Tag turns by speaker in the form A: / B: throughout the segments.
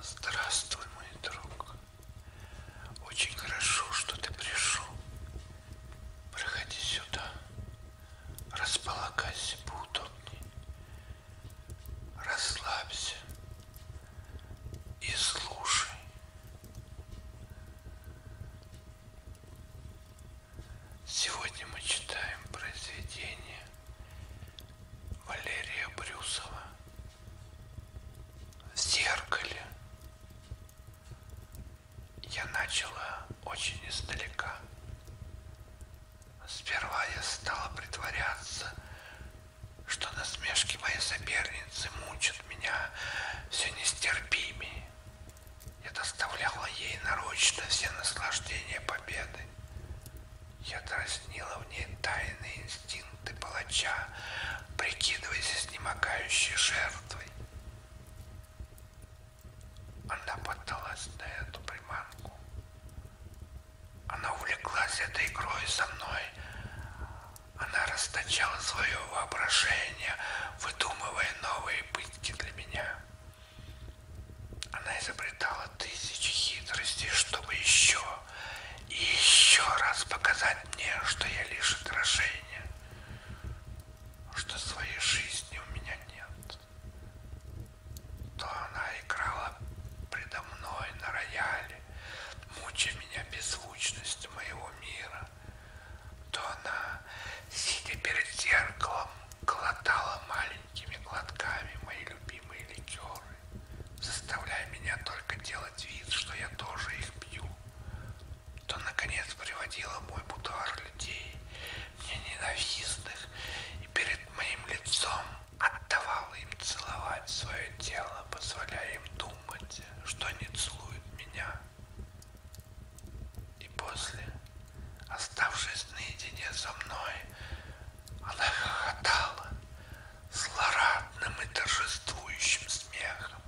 A: Здравствуй, мой друг. Очень хорошо, что ты пришел. Проходи сюда. Располагайся поудобнее. Расслабься. И слушай. Сегодня мы читаем произведение Валерия Брюсова в зеркале я начала очень издалека. Сперва я стала притворяться, что насмешки моей соперницы мучат меня все нестерпимее. Я доставляла ей нарочно все наслаждения победы. Я дразнила в ней тайные инстинкты палача, прикидываясь изнемогающей жертвой. Она поддалась на эту приманку. Она увлеклась этой игрой со мной. Она расточала свое воображение, выдумывая новые пытки для меня. Она изобретала тысячи хитростей, чтобы еще и еще раз показать мне, что я лишь отражение, что своей жизни у меня нет. То она играла предо мной на рояле, мучая меня беззвучностью моего мира, то она, сидя перед зеркалом, глотала маленькие маленькими глотками мои любимые ликеры, заставляя меня только делать вид, что я тоже их пью, то, наконец, приводила мой будуар людей, мне ненавистных, и перед моим лицом отдавала им целовать свое тело, позволяя им думать, что они целуют меня. И после, оставшись наедине со мной, она хохотала злорадным и торжествующим смехом,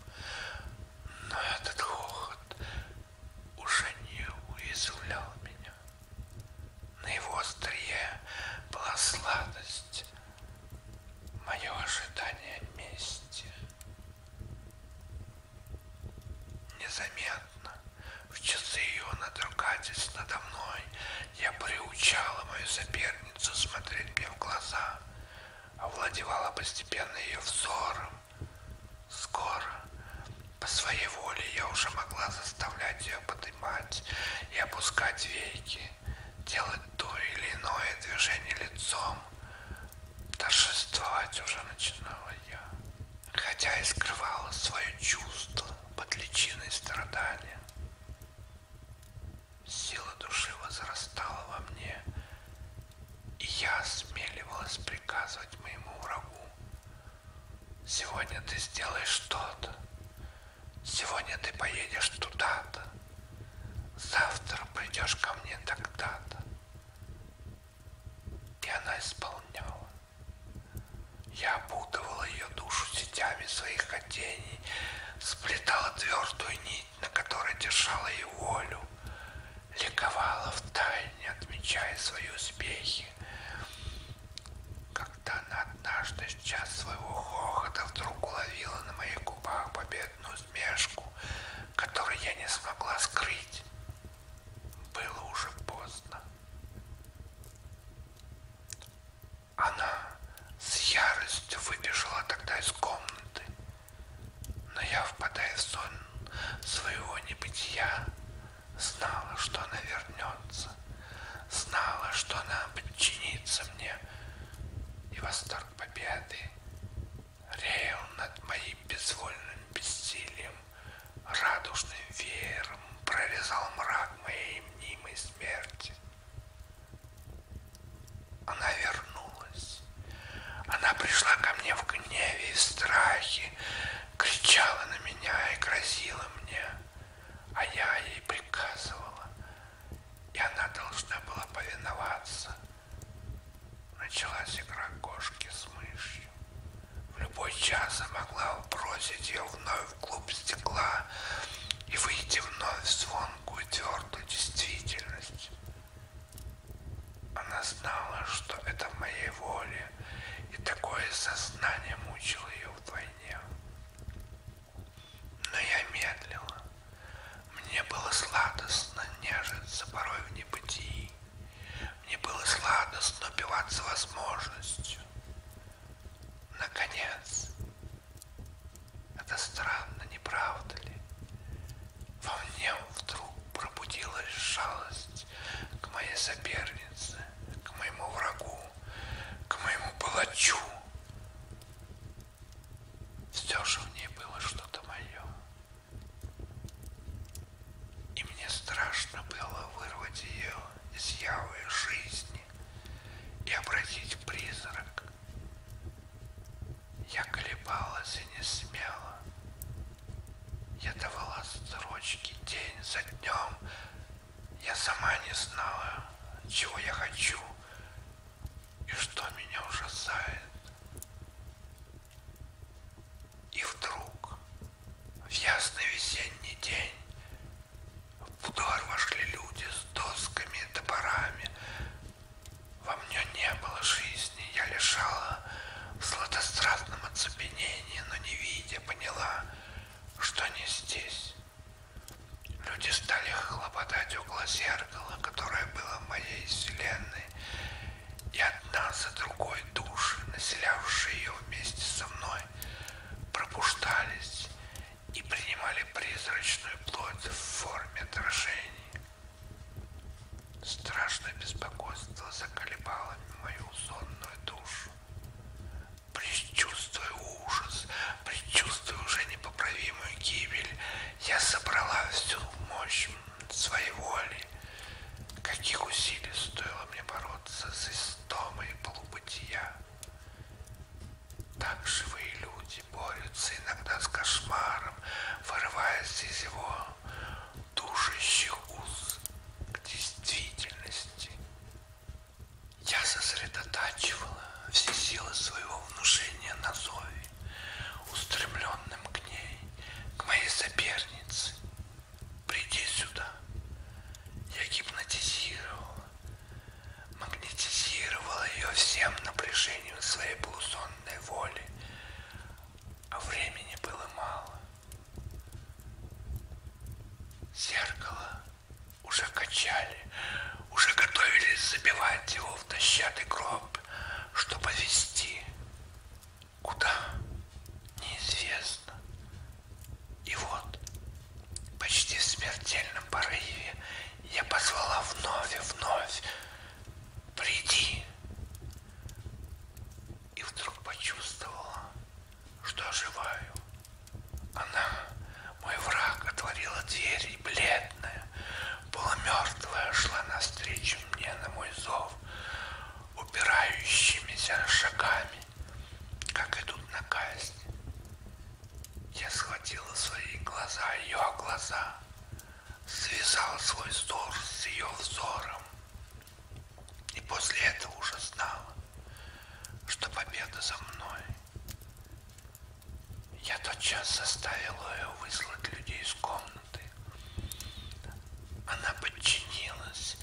A: но этот хохот уже не уязвлял меня. На его острие была сладость, мое ожидание мести. Незаметно понятно. В часы ее надругательств надо мной я приучала мою соперницу смотреть мне в глаза, овладевала постепенно ее взором. Скоро, по своей воле, я уже могла заставлять ее поднимать и опускать веки, делать то или иное движение лицом. Торжествовать уже начинала я хотя и скрывала свое чувство под личиной страдания. Сила души возрастала во мне, и я осмеливалась приказывать моему врагу. Сегодня ты сделаешь что-то, сегодня ты поедешь туда-то, завтра придешь ко мне тогда-то. И она исполняла. Я опутывала ее душу сетями своих хотений, сплетала твердую нить, на которой держала ее волю, ликовала в тайне, отмечая свои успехи. Когда она однажды в час своего хохота вдруг уловила на моих губах победную смешку, которую я не смогла скрыть, было уже поздно. Она с яростью выбежала тогда из комнаты, но я, впадая в сон своего небытия, знала, что она вернется, знала, что она подчинится мне, и восторг победы реял над моим безвольным бессилием радужным веером прорезал мрак моей мнимой смерти. Она вернулась. Она пришла ко мне в гневе и страхе, кричала на меня и грозила мне, а я ей приказывала, и она должна была повиноваться. Началась игра кошки с мышью. В любой час я могла бросить ее вновь в клуб стекла и выйти вновь в звонкую твердую действительность. Она знала, что это в моей воле, и такое сознание мучило ее вдвойне. Но я медлила. Мне было сладостно нежиться порой в небытии. Мне было сладостно убиваться возможностью. Наконец. Это странно, не правда ли? Во мне вдруг пробудилась жалость к моей сопернице, к моему врагу, к моему палачу. Все же в ней было что-то мое и мне страшно было вырвать ее из явы жизни и обратить в призрак. Я колебалась и не смела. Я давала строчки день за днем. Я сама не знала, чего я хочу и что меня ужасает. И вдруг, в ясный весенний день, в двор вошли люди с досками и топорами. Во мне не было жизни, я лежала в сладострастном оцепенении, но не видя, поняла, что не здесь. Люди стали хлопотать около зеркала, которое было в моей вселенной, и одна за другой души, населявшие ее вместе со мной, пробуждались и принимали призрачную плоть в форме дрожений. Страшное беспокойство заколебало мою сонную душу. Предчувствуя ужас, предчувствуя уже непоправимую гибель, я собрала всю мощь своей воли, каких усилий стоило мне бороться с фантомы полубытия. Так живые люди борются иногда с кошмаром, вырываясь из его душащих уз к действительности. Я сосредотачивала все силы своего внушения на Зове, устремленным к ней, к моей сопернице, Приди сюда. Я гипнотизировала, магнетизировала ее всем напряжением своей полусонной воли, а времени было мало. Зеркало уже качали, уже готовились забивать его в дощатый гроб, чтобы вести. Куда? Неизвестно. И вот, почти в смертельном порыве, я позвала вновь и вновь. Приди. И вдруг почувствовала, что оживаю. Она, мой враг, отворила дверь и бледная, полумертвая, шла навстречу мне на мой зов упирающимися шагами, как идут на казнь. Я схватила свои глаза, ее глаза, связала свой взор с ее взором. И после этого уже знала, что победа за мной. Я тотчас заставила ее выслать людей из комнаты. Она подчинилась,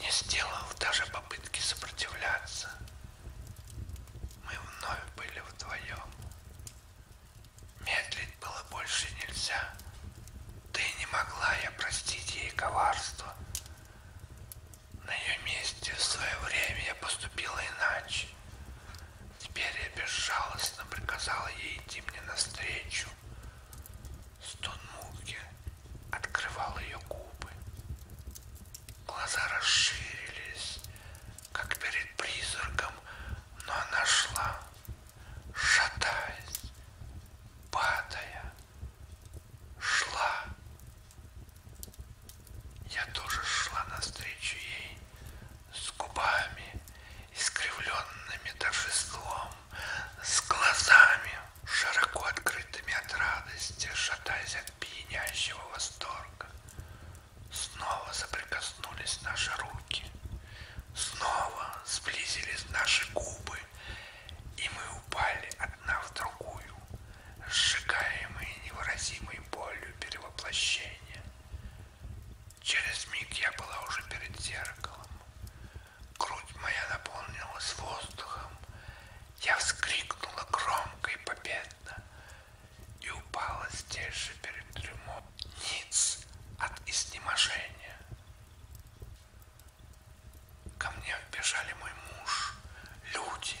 A: не сделала даже попытки сопротивляться. Мы вновь были вдвоем. Медлить было больше нельзя. Да и не могла я простить ей коварство. На ее месте в свое время я поступила иначе. Теперь я безжалостно приказала ей идти мне навстречу,
B: Стон муки открывал ее губы. Глаза расширились, как перед призраком, но она шла, шатаясь, падая, шла. Я тоже шла навстречу ей с губами, искривленными торжеством с глазами, широко открытыми от радости, шатаясь
A: от пьянящего восторга. Снова соприкоснулись наши руки, снова сблизились наши губы, и мы упали одна в другую, сжигаемые невыразимой болью перевоплощения. Через миг я была уже перед зеркалом, грудь моя наполнилась воздухом. Я вскрикнула громко и победно и упала здесь же перед трюмом ниц от изнеможения. Ко мне вбежали мой муж, люди.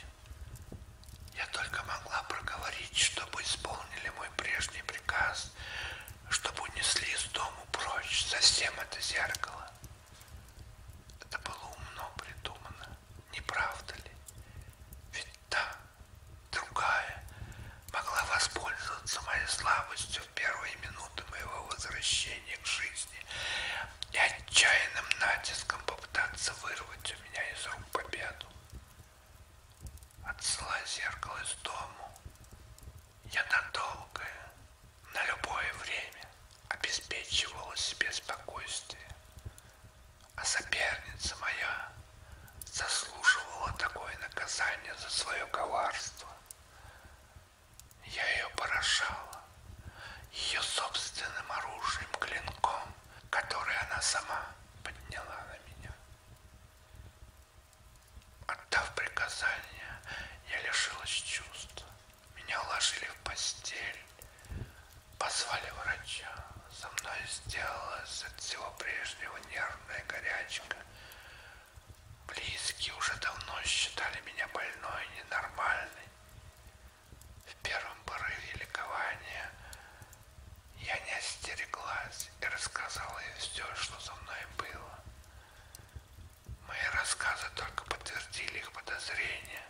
A: Я только могла проговорить, чтобы исполнили мой прежний приказ, чтобы унесли из дому прочь совсем это зеркало. Это было умно придумано, не правда ли? Ведь та, другая, могла воспользоваться моей слабостью в первые минуты моего возвращения к жизни и отчаянным натиском попытаться вырвать у меня из рук победу. Отсылая зеркало из дому, я надолго на любое время обеспечивала себе спокойствие, а соперница моя заслуживала такое наказание за свое коварство. Я ее поражала ее собственным оружием, клинком, который она сама подняла на меня. Отдав приказание, я лишилась чувств. Меня уложили в постель, позвали врача. Со мной сделалась от всего прежнего нервная горячка. Близкие уже давно считали меня больной и ненормальной. В первом порыве ликования я не остереглась и рассказала ей все, что со мной было. Мои рассказы только подтвердили их подозрения.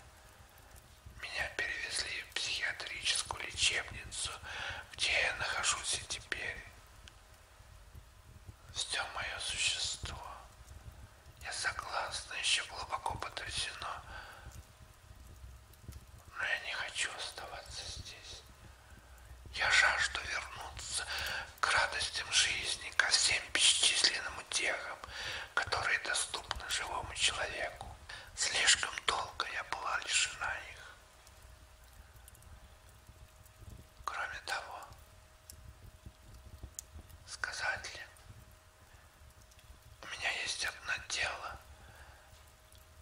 A: Меня перевезли в психиатрическую лечебницу, где я нахожусь и теперь. Все мое существо. Я согласна, еще глубоко потрясено. Но я не хочу оставаться здесь. Я жажду вернуться к радостям жизни, ко всем бесчисленным утехам, которые доступны живому человеку. Слишком долго я была лишена их. Кроме того, сказать ли, у меня есть одно дело,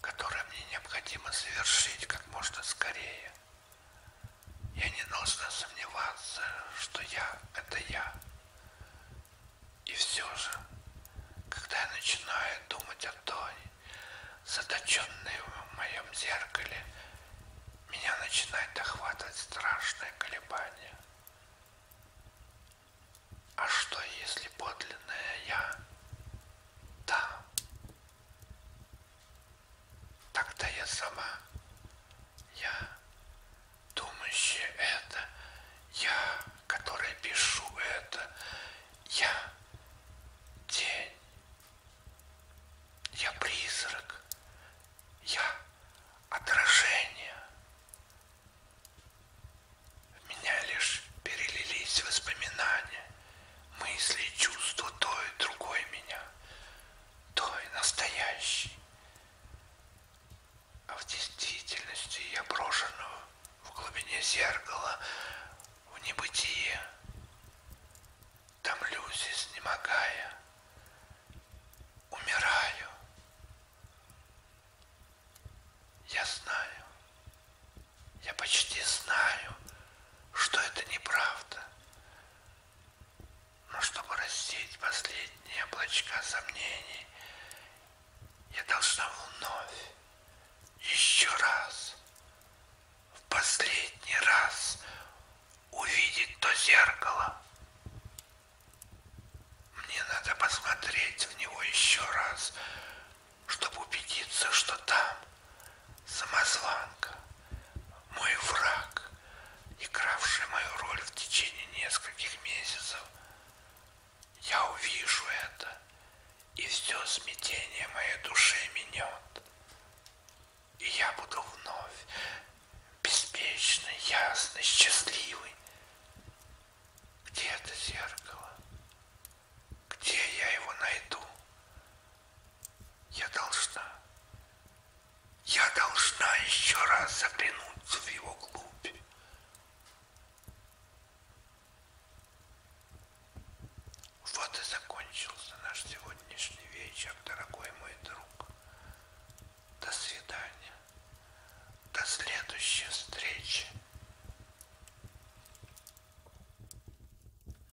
A: которое мне необходимо совершить как можно скорее – я не должна сомневаться, что я – это я. И все же, когда я начинаю думать о той, заточенной в моем зеркале, меня начинает охватывать страшное колебание. А что, если подлинное я там, Тогда я сама, я думающая это, я, которая пишу это, я тень, я призрак, я отражение. В меня лишь перелились воспоминания мысли и чувства той и другой меня, той настоящей. А в действительности я брошенную в глубине зеркала, в небытие, томлюсь, изнемогая, умираю. Я знаю, я почти знаю, что это неправда, но чтобы рассеять последние облачка сомнений, я должна вновь, еще раз, в последний раз увидеть то зеркало. Мне надо посмотреть в него еще раз, чтобы убедиться, что там, самозванка, мой враг, игравший мою роль в течение нескольких месяцев. Я увижу это, и все смятение моей души минет. И я буду вновь беспечный, ясный, счастливый. Где это зеркало? Где я его найду? Я должна, я должна еще раз заглянуться в его глубь. Вот и закончился наш сегодняшний вечер, дорогой мой друг. До свидания. До следующей встречи.